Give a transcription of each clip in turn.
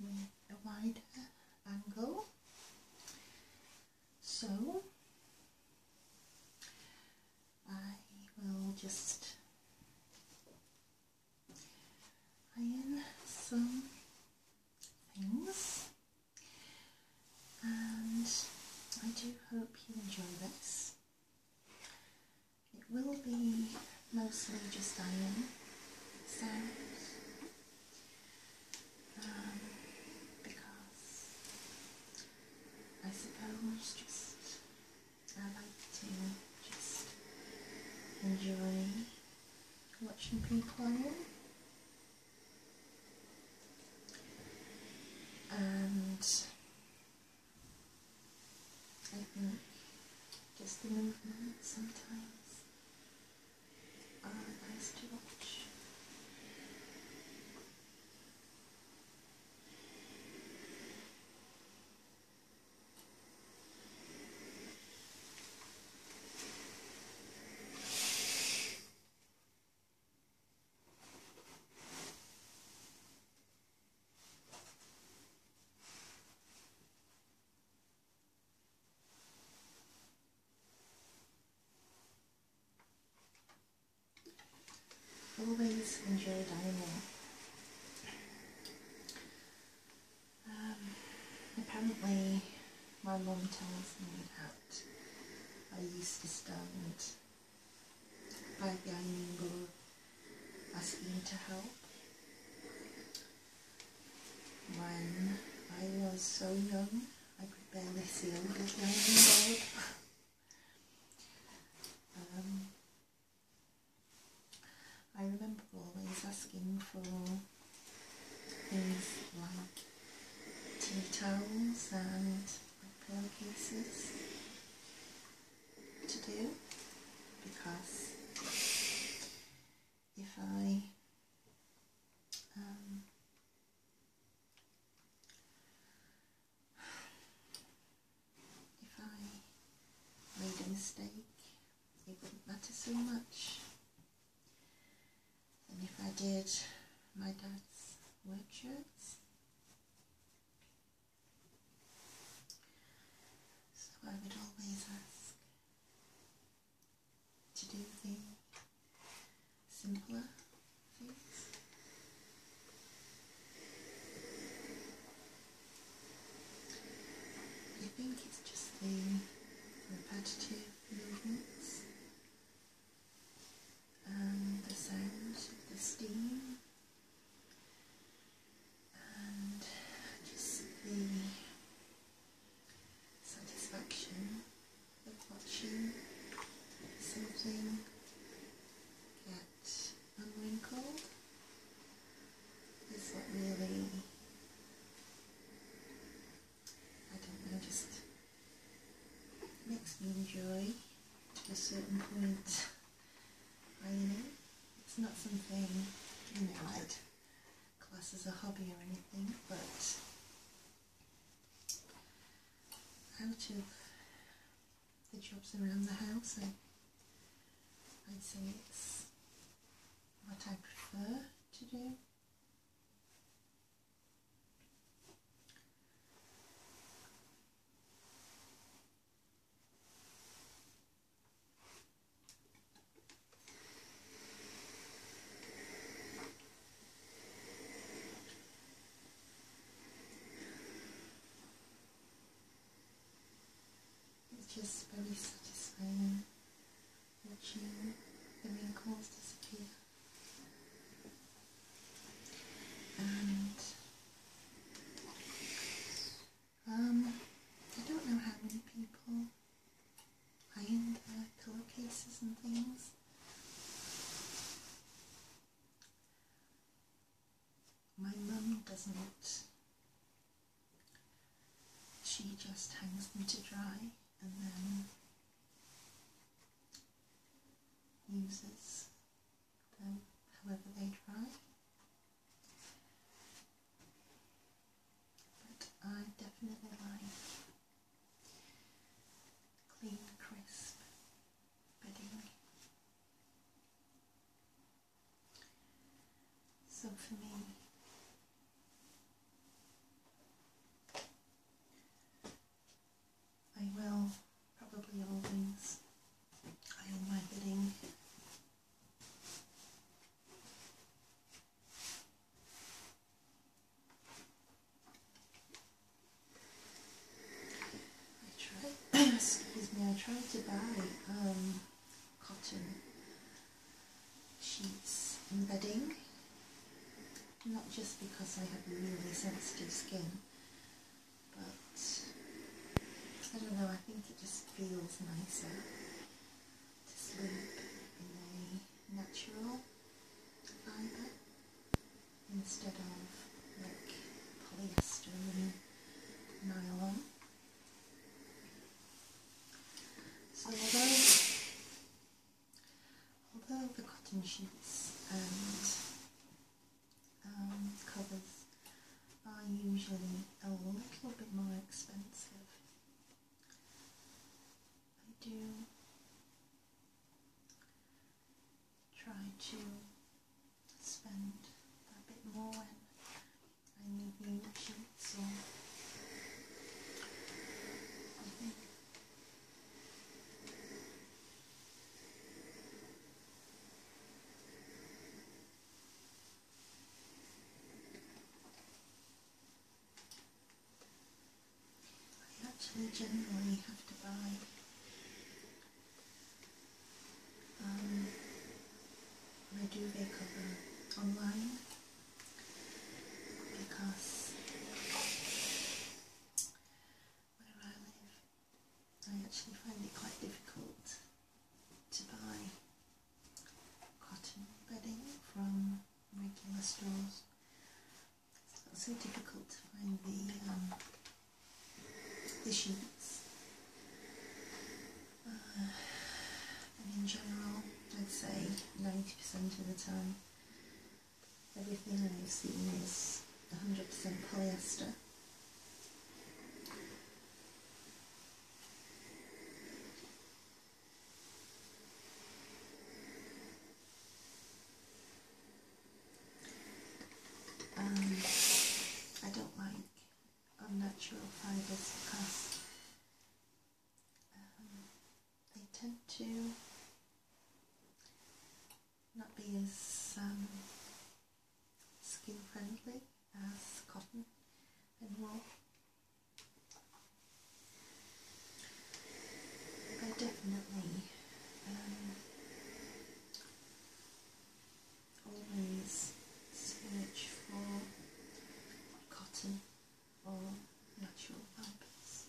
with a wider angle. So I will just iron some things and I do hope you enjoy this. It will be mostly just Diane sounds um, because I suppose just I like to just enjoy watching people and I just the movement sometimes are uh, nice to watch. Always enjoy dining. Um, apparently, my mom tells me that I used to stand by the dining door asking to help when I was so young, I could barely see a little 9 um, I remember always asking for things like tea towels and pillowcases to do because if I um, if I made a mistake, it wouldn't matter so much. And if I did my dad's work shirts, so I would always ask to do the simpler things. I think it's just the repetitive movements and um, the sound of the steam and just the satisfaction of watching something get unwrinkled is what really I don't know just makes me enjoy a certain point I know it's not something you know i class as a hobby or anything, but out of the jobs around the house, I'd say it's what I prefer to do. It's just very satisfying watching the wrinkles disappear. And um, I don't know how many people ironed their pillowcases and things. My mum doesn't. She just hangs them to dry and then uses them however they dry. But I definitely like clean, crisp bedding. So for me, I will probably always iron my bedding I tried, excuse me, I tried to buy um, cotton sheets and bedding, not just because I have really sensitive skin, but I don't know, I think it just feels nicer to sleep in a natural fibre instead of like polyester and nylon. So although, although the cotton sheets and covers are usually a little bit more expensive. I do try to spend a bit more when I need new shoes, or I think I actually generally have to buy I do duvet cover online because where I live I actually find it quite difficult to buy cotton bedding from regular stores. It's not so difficult to find the, um, the sheets. Uh, and in general, let's say 90% of the time everything I've seen is 100% polyester. Um, I don't like unnatural fibres because they tend to not be as um, skin friendly as cotton and wool. I definitely um, always search for cotton or natural fibres.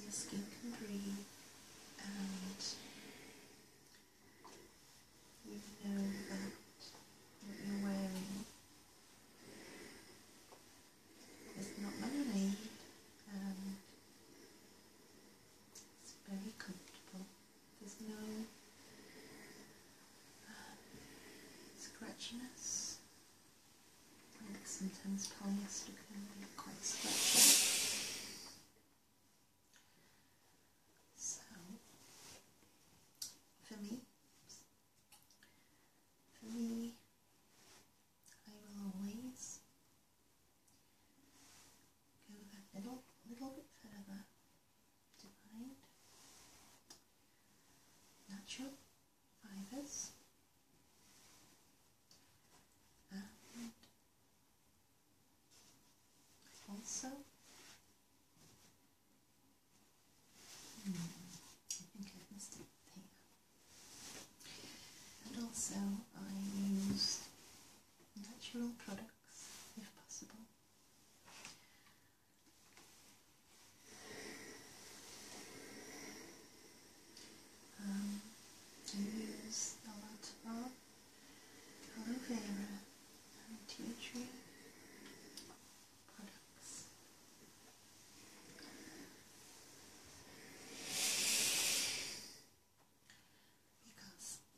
Your skin can breathe and we know that what you're wearing is not man-made it's very comfortable. There's no scratchiness. sometimes polyester can be quite scratchy. So, for me, for me, I will always go that little, little bit further to natural fibres and also, hmm, I think I missed it And also, I use natural products if possible. Um, I use a lot of aloe vera tea tree products.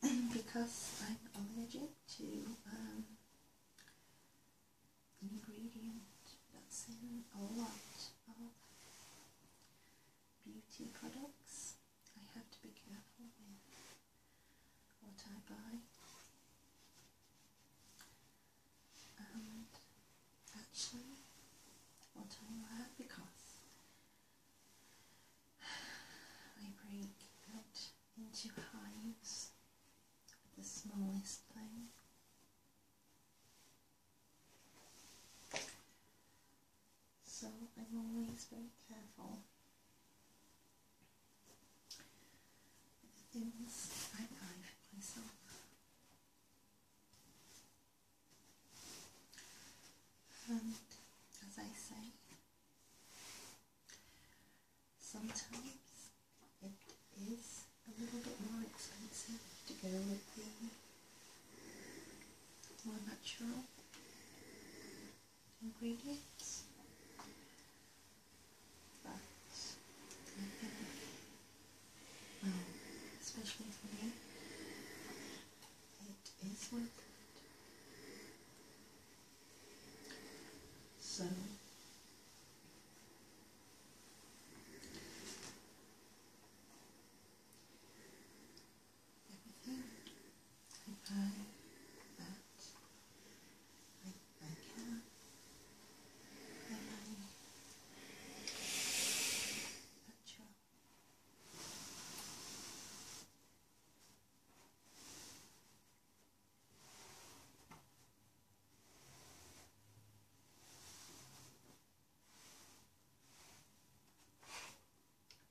Because because I'm allergic to um, an ingredient that's in a lot of beauty products, I have to be careful with what I buy and actually what I wear because I break it into hives with the smallest thing. So I'm always very careful things I myself. And as I say, sometimes it is a little bit more expensive to go with the more natural ingredients. But um, especially for me, it is worth it. So. I buy that like my cat, my money, petrol.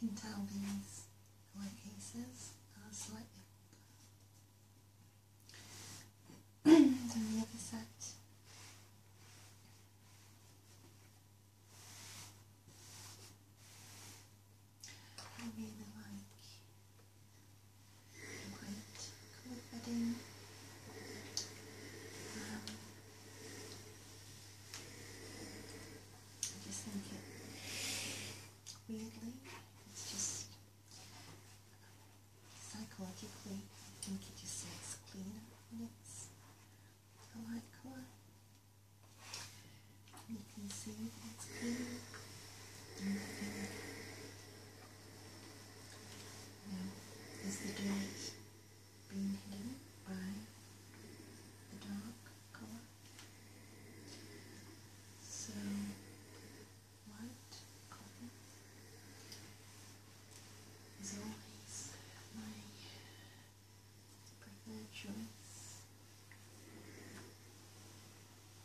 You can tell these white cases are slightly the other set. I really like I just think it weirdly, it's just psychologically, I think it just looks cleaner when it's a light You can see it's clean. And I is the dirt being hidden by the dark color? So, white cotton is always my preferred choice.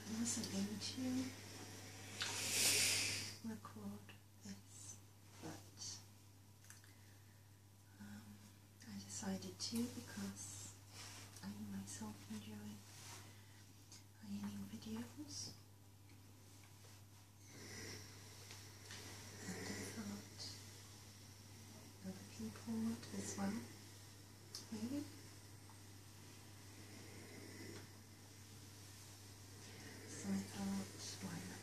I wasn't going to record this, but um, I decided to because I myself enjoy ironing videos. I thought other people would as well, maybe. So I thought, why not?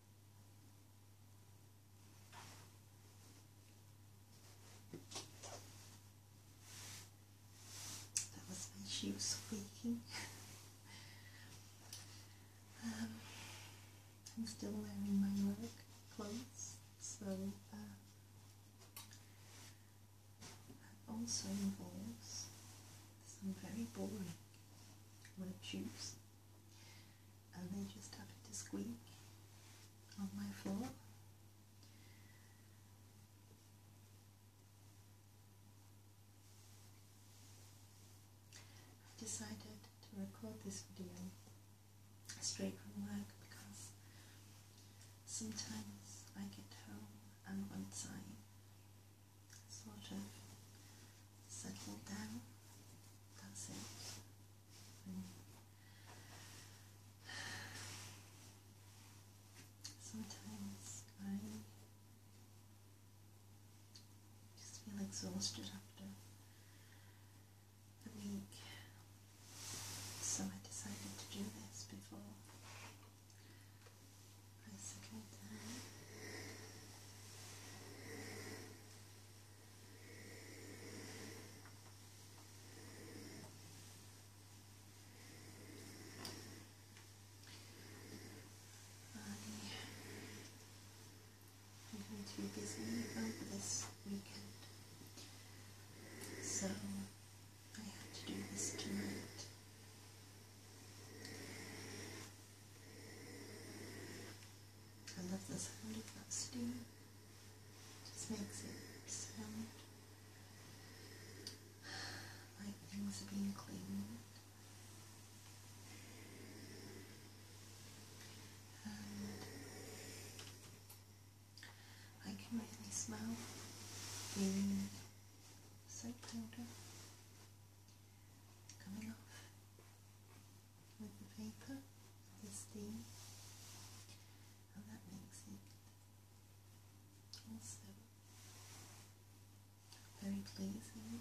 That was my shoe squeaking. Um, I'm still wearing my work clothes, so uh, also involves some very boring work shoes and they just happen to squeak on my floor. I've decided to record this video straight from work because sometimes I get home and once I sort of Mm. sometimes I just feel exhausted after a week. So I decided to do this before I settled I'm going to be busy over this weekend, so I have to do this tonight. I love this sound of that steam. just makes it sound like things are being cleaned. And I can really smell the soap powder coming off with the vapor, the steam, and that makes it also very pleasing.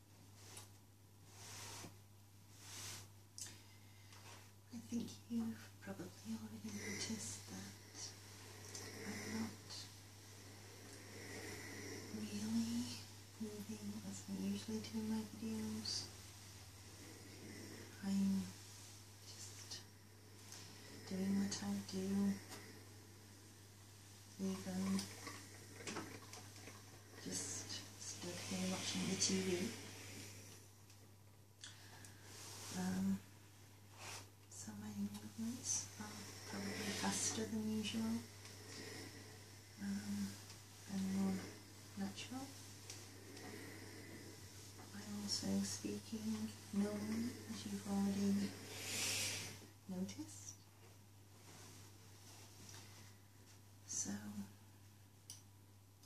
I think you've probably already noticed that I'm not really moving as I usually do in my videos. I'm just doing what I do even just stood here watching the TV. Um, so my movements are um, probably faster than usual um, and more natural. I'm also speaking normally, as you've already noticed. So,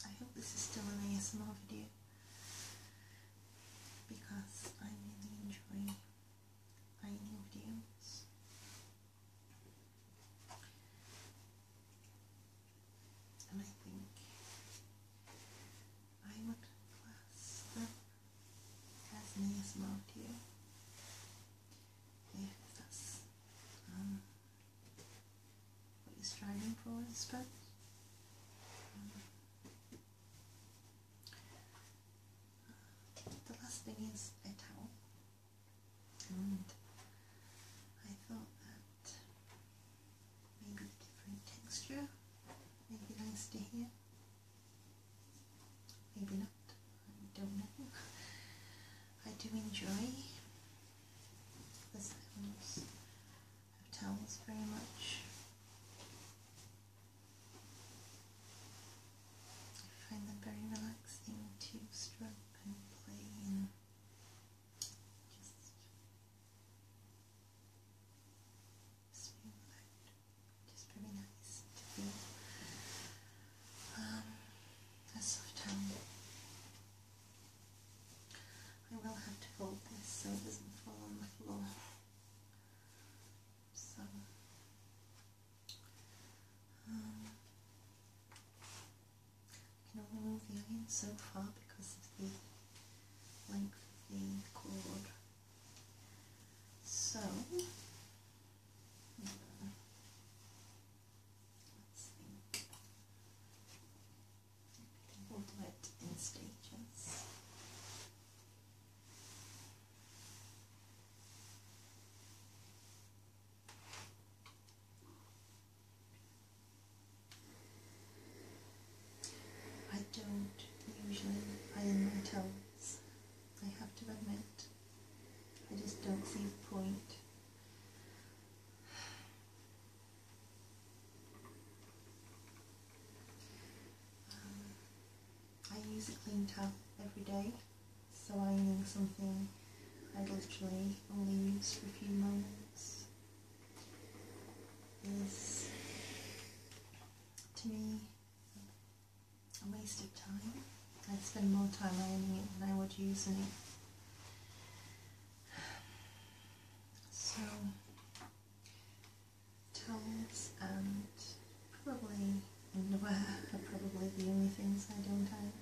I hope this is still an ASMR video because I really enjoy finding videos. And I think I would class them as an ASMR video if that's um, what you're striving for, I suppose. Um, the last thing is a towel, and I thought that maybe different texture, maybe nice to hear maybe not, I don't know. I do enjoy the sounds of towels very much. I find them very relaxing to stroke and play and just smooth out. Just very nice to feel um, a soft towel. I will have to hold this so it doesn't fall on the floor. So, um, can only move the iron so far because of the length of the cord. So, uh, Let's think. We'll do it in stages. I don't usually iron my toes. I have to admit. I just don't see the point. Um, I use a clean towel every day, so I need something I literally only use for a few moments. Is to me a waste of time. I'd spend more time learning it than I would using it. So, towels and probably underwear are probably the only things I don't have.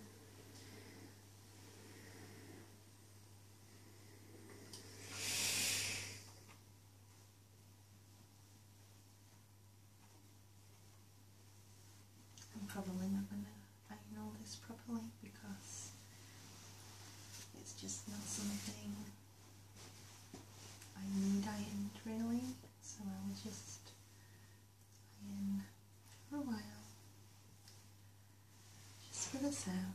I'm probably not going to iron all this properly because it's just not something I need ironed really, so I will just iron for a while just for the sounds.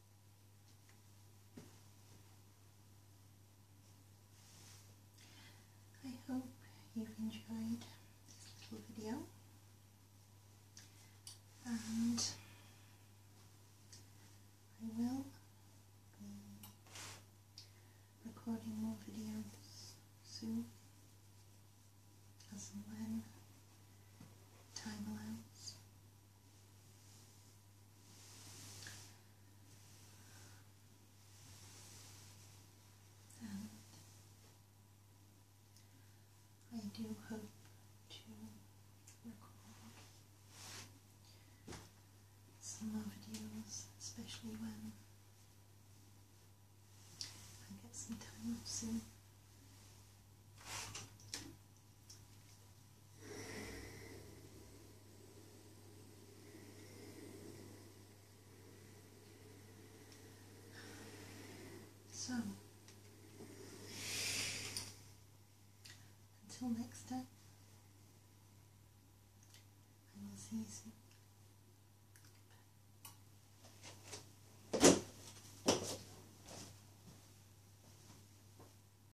I hope you've enjoyed this little video and I will be recording more videos soon as and when time allows. I do hope to record some more videos, especially when I get some time off soon. So, until next time, I will see you